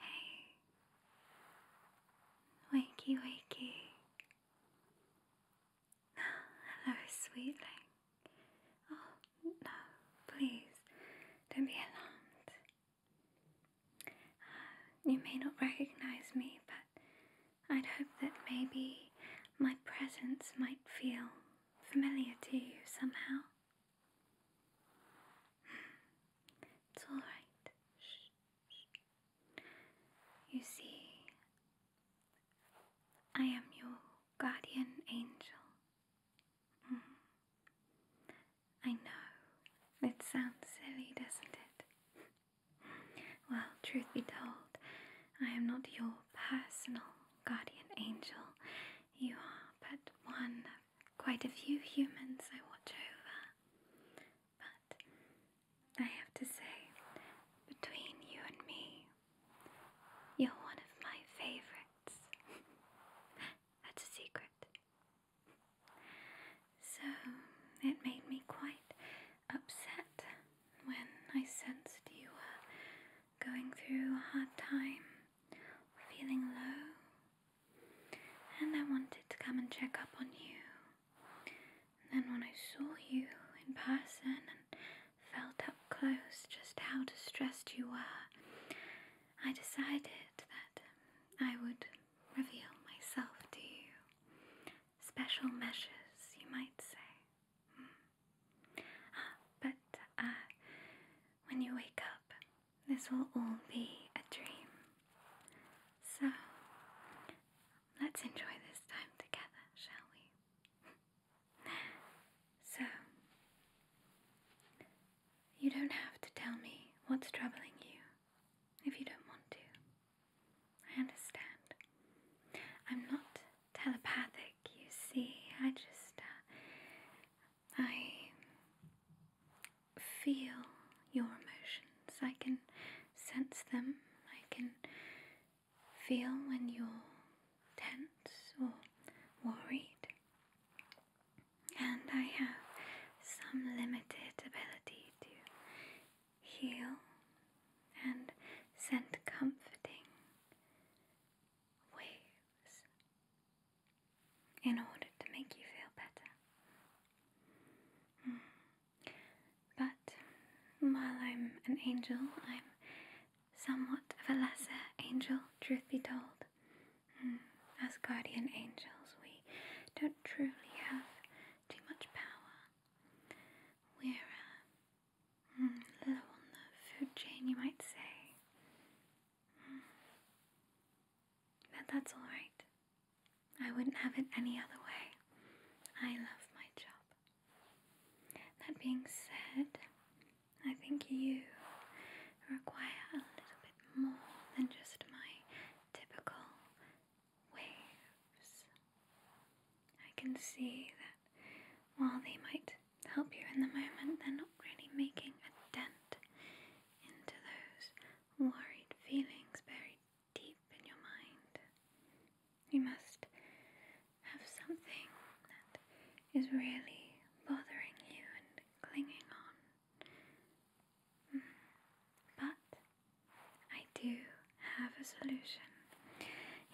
Hey. Wakey, wakey. hello, sweetling. Oh, no, please, don't be alarmed. Uh, you may not recognize me, but I'd hope that maybe my presence might feel familiar to you somehow. Hmm, it's alright. You see, I am your guardian angel. Mm. I know, it sounds silly, doesn't it? well, truth be told, I am not your personal guardian angel. You are but one of quite a few humans I watch over. But I have to say, between you and me, you're one of my favorites. That's a secret. So it made me quite upset when I sensed you were going through a hard time, feeling low and I wanted to come and check up on you. And then, when I saw you in person and felt up close just how distressed you were, I decided that I would reveal myself to you. Special measures, you might say. Hmm. Ah, but uh, when you wake up, this will all be a dream. So, let's enjoy this time together, shall we? so, you don't have to tell me what's troubling you if you don't want to. I understand. I'm not telepathic, you see. I just. Uh, I feel your emotions. I can sense them. I can feel when you're tense or worried. And I have some limited ability to heal and send comforting waves in order to make you feel better. Hmm. But while I'm an angel, I'm somewhat of a lesser angel, truth be told. Hmm. As guardian angels, we don't truly have too much power. We're uh, mm, low on the food chain, you might say. Hmm. But that's alright. I wouldn't have it any other way. I love my job. That being said, I think you require a little bit more than just my typical waves. I can see that while they might help you in the moment, they're not really making a dent into those worried feelings buried deep in your mind. You must have something that is really bothering you and clinging on. Mm. But I do have a solution.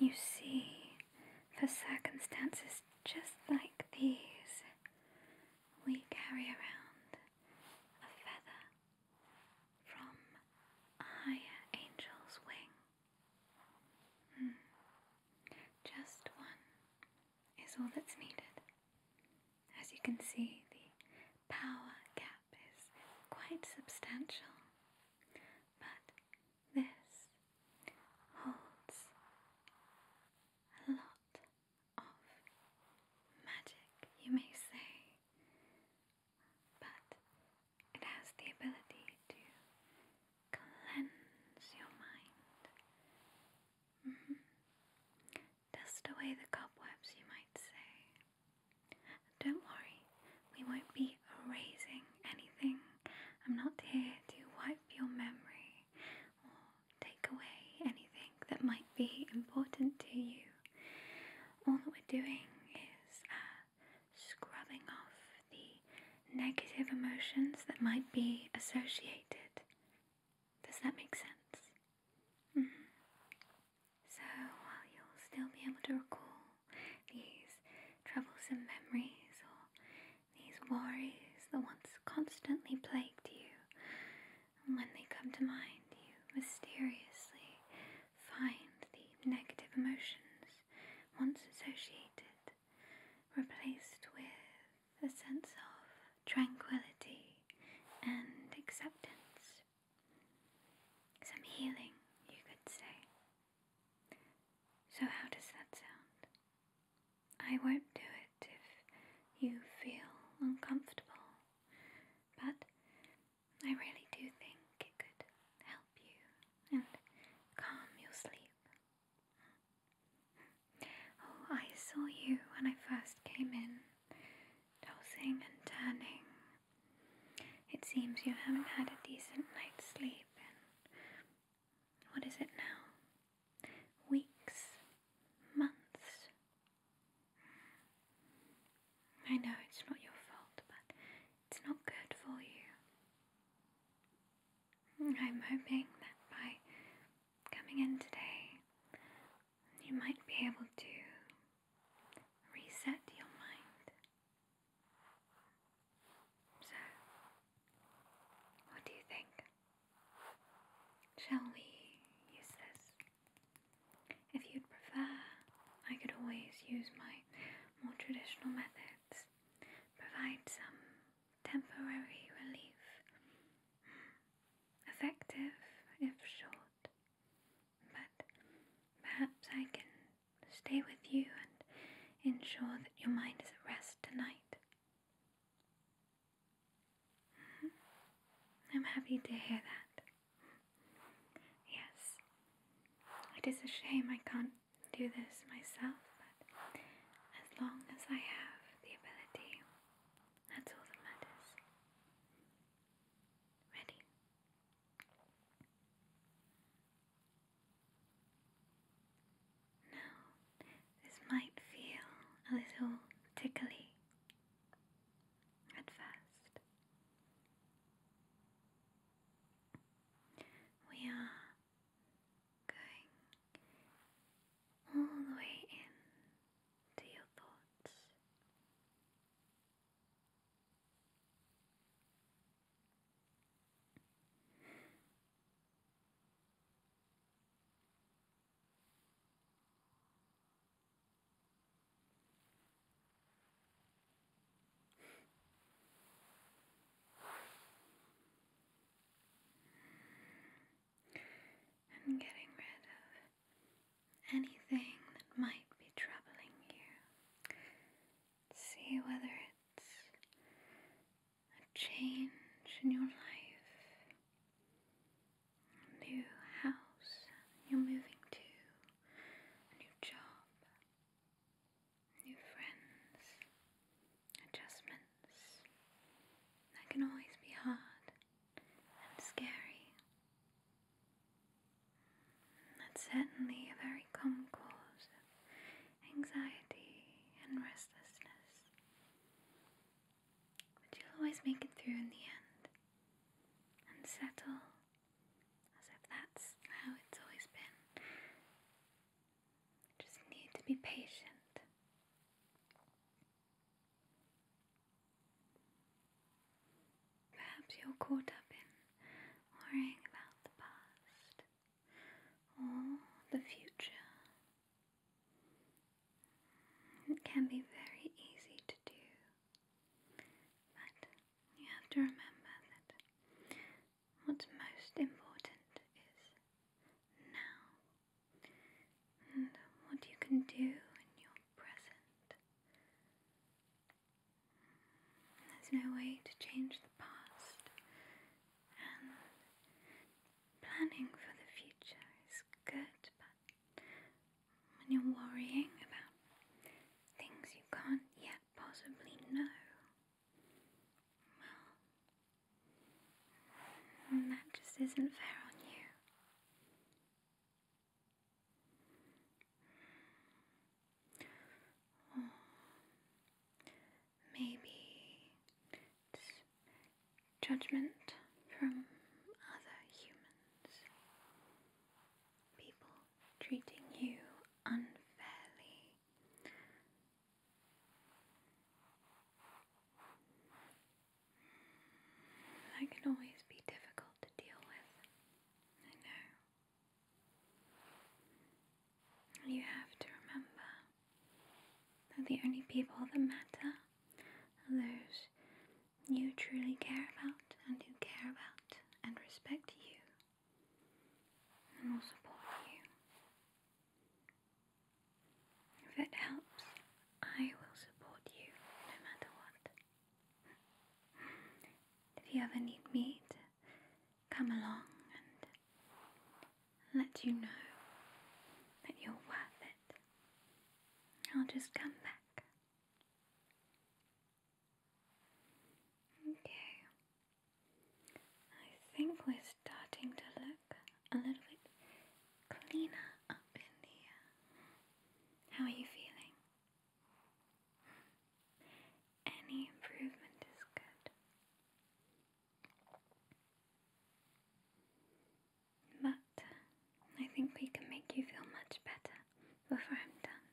You see, for circumstances just like these, we carry around a feather from a higher angel's wing. Hmm. Just one is all that's needed. As you can see, the power gap is quite substantial, but this holds a lot of magic, you may say, but it has the ability to cleanse your mind, mm-hmm. dust away the cobwebs, you might say. Don't worry, we won't be erasing anything. I'm not here to wipe your memory or take away anything that might be important to you. All that we're doing is uh, scrubbing off the negative emotions that might be associated. Does that make sense? Mm-hmm. So you'll still be able to recall these troublesome memories these worries, the ones constantly plagued you, when they come to mind, you mysteriously find the negative emotions once associated replaced with a sense of tranquility and acceptance. Some healing, you could say. So, how does that sound? I won't do it if you feel uncomfortable, but I really do think it could help you and calm your sleep. Oh, I saw you when I first came in, tossing and turning. It seems you haven't had a decent night's sleep what is it now? Weeks, months. I know it's not your fault, but it's not good for you. I'm hoping that by coming in today, you might be able to reset your mind. So, what do you think? Shall we use this? If you'd prefer, I could always use my more traditional methods, provide some temporary relief. Hmm, effective if short, but perhaps I can stay with you and ensure that your mind is at rest tonight. Mm-hmm. I'm happy to hear that. Yes, it is a shame I can't do this myself, but as long as I have the ability, that's all that matters. Ready? Now, this might feel a little tickly at first. We are going all the way in to your thoughts. And getting rid of anything that might be troubling you. See whether it's a change in your life. A new house you're moving to, a new job, new friends, adjustments. That can always be hard and scary. That's certainly a very common cause anxiety, and restlessness. But you'll always make it through in the end and settle as if that's how it's always been. just need to be patient. Perhaps you're caught up in worrying about the past or the future. It can be very easy to do, but you have to remember that what's most important is now and what you can do in your present. There's no way to change the past, and planning for the future is good, but when you're worrying about things you can't yet possibly know, well, that just isn't fair on you maybe judgment from other humans. People treating you unfairly. That can always be difficult to deal with. I know. You have to remember that the only people that matter are those you truly care about and who care about and respect you and will support you. If it helps, I will support you no matter what. If you ever need me come along and let you know that you're worth it. I'll just come back. Okay, I think we're starting to look a little bit cleaner up in here. How are you feeling? Any improvement is good. But I think we can make you feel much better before I'm done.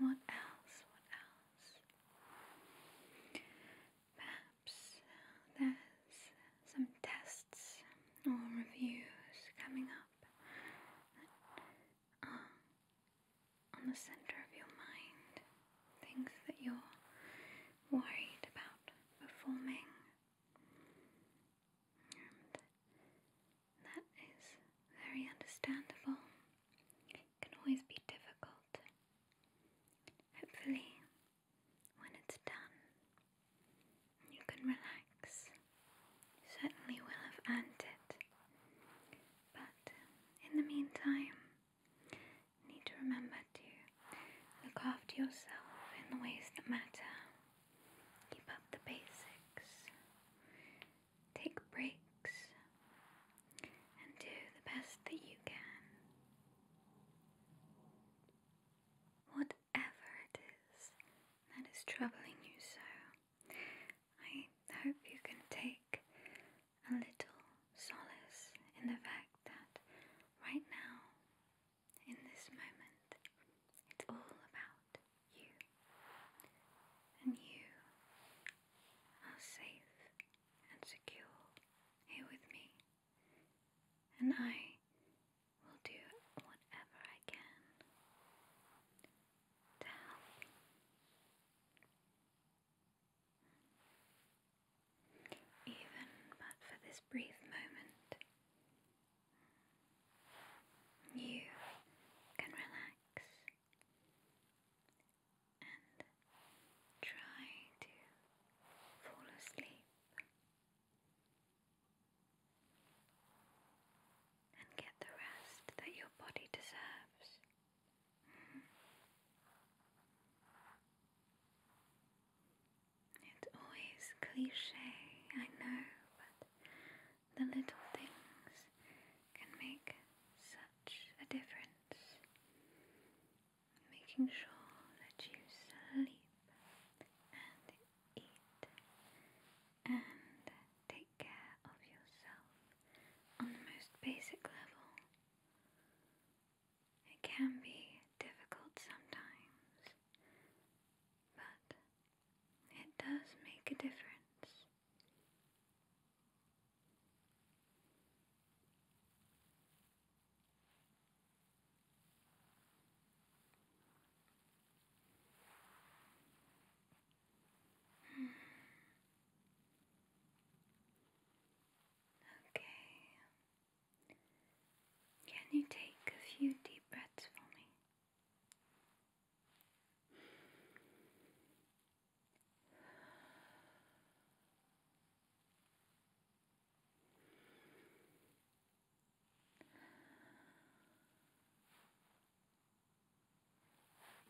What else? What else? Perhaps there's some tests or reviews coming up on the center of your mind, things that you're worried about performing that is very understandable. It can always be difficult. Hopefully, when it's done, you can relax. certainly will have earned it. But um, in the meantime, need to remember to Look after yourself in the ways that matter. Keep up the basics. Take breaks. And do the best that you can. Whatever it is that is troubling you so, I hope you can take a little solace in the fact that right now in this moment. It's all about you. And you are safe and secure here with me. And I will do whatever I can to help even but for this brief moment, you can relax and try to fall asleep and get the rest that your body deserves. It's always cliche, I know, but the little things can make such a difference. Making sure that you sleep and eat and take care of yourself on the most basic level. It can be difficult sometimes, but it does make a difference. Hmm. Okay, can you take a few deep breaths for me?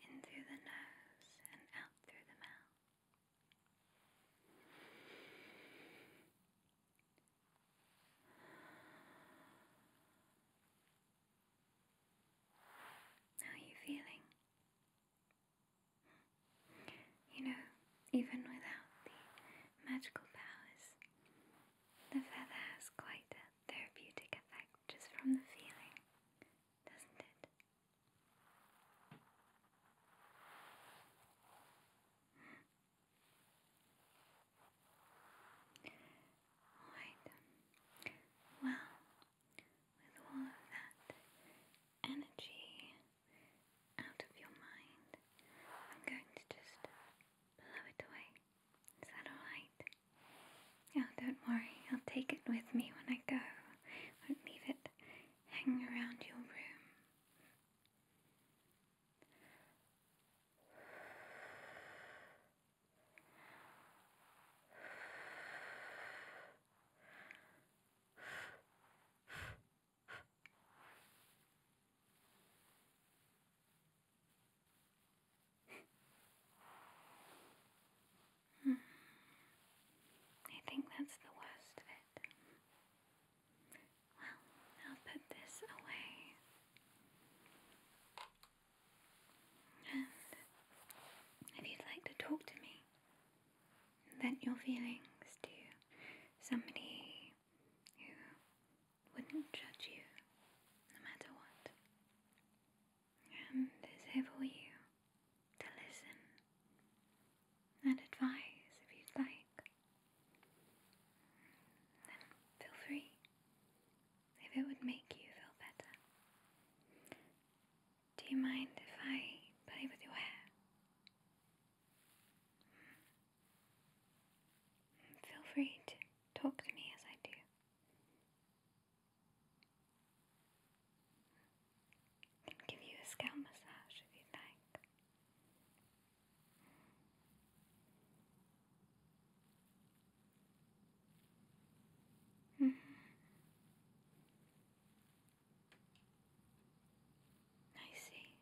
In through the nose and out through the mouth. How are you feeling? You know, even without the magical powers, the feather has quite a therapeutic effect just from the feeling, doesn't it? Alright. Well, with all of that energy out of your mind, I'm going to just blow it away. Is that alright? Oh, don't worry, I'll take it with me when I go. won't leave it hanging around your room. I think that's the worst of it. Well, I'll put this away. And if you'd like to talk to me, vent your feelings to somebody who wouldn't judge you no matter what, and is here for you to listen and advise if you'd like. Then feel free if it would make you feel better. Do you mind if I play with your hair? Feel free to talk to me as I do. I give you a scalp massage if you like. Mm-hmm. I see.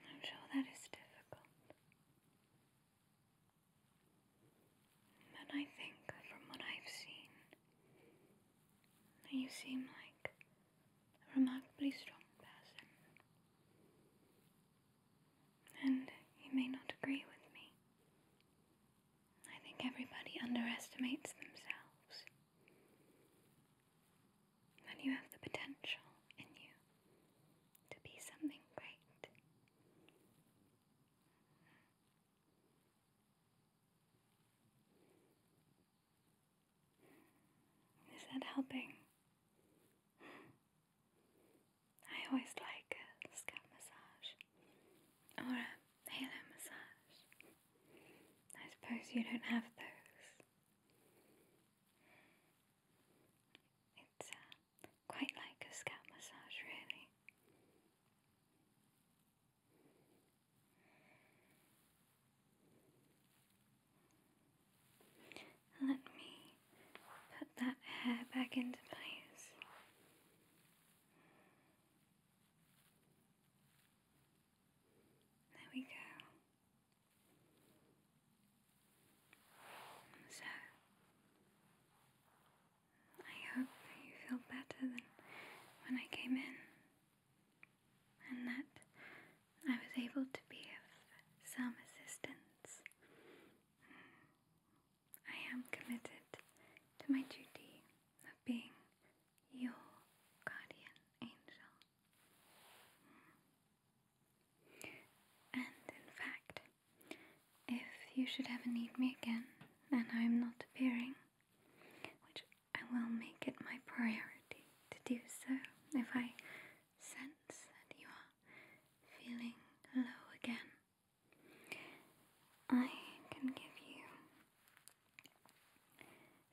I'm sure that is difficult. But I think, from what I've seen, you seem like a remarkably strong person. And you may not agree with me. I think everybody underestimates themselves when you have the potential in you to be something great. Is that helping? I always like a scalp massage or a halo massage. I suppose you don't have those. It's uh, quite like a scalp massage, really. Let me put that hair back into place. There we go. So, I hope you feel better than when I came in, and that I was able to be of some assistance. I am committed to my duty of being your guardian angel. And in fact, if you should ever need me again and I am not appearing, which I will make it my priority to do so if I sense that you are feeling low again, I can give you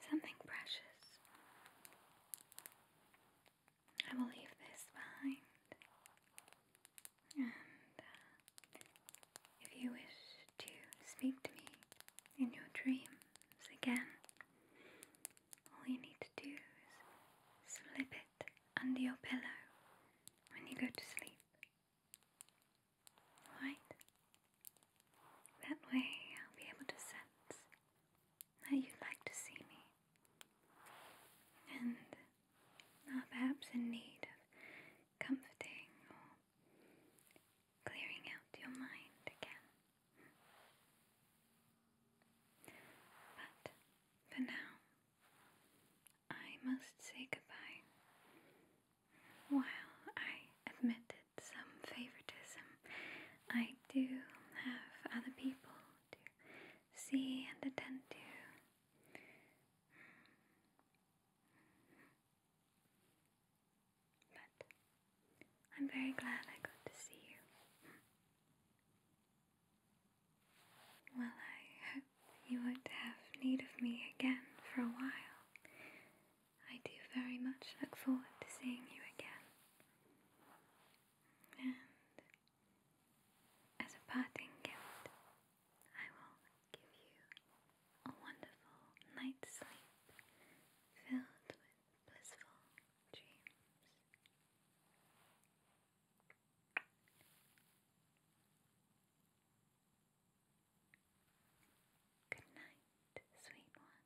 Something precious. I will leave this behind. And uh, if you wish to speak to me in your dreams again, all you need to do is slip it under your pillow when you go to sleep. Alright? That way I'll be able to sense that you'd like to see me and are perhaps in need of comforting or clearing out your mind again. But for now, I must say goodbye. While I admit it some favoritism. I do have other people to see and attend to. But I'm very glad I got to see you. Well, I hope you won't have need of me again for a while. I do very much look forward to seeing you again. And as a parting gift, I will give you a wonderful night's sleep filled with blissful dreams. Good night, sweet one.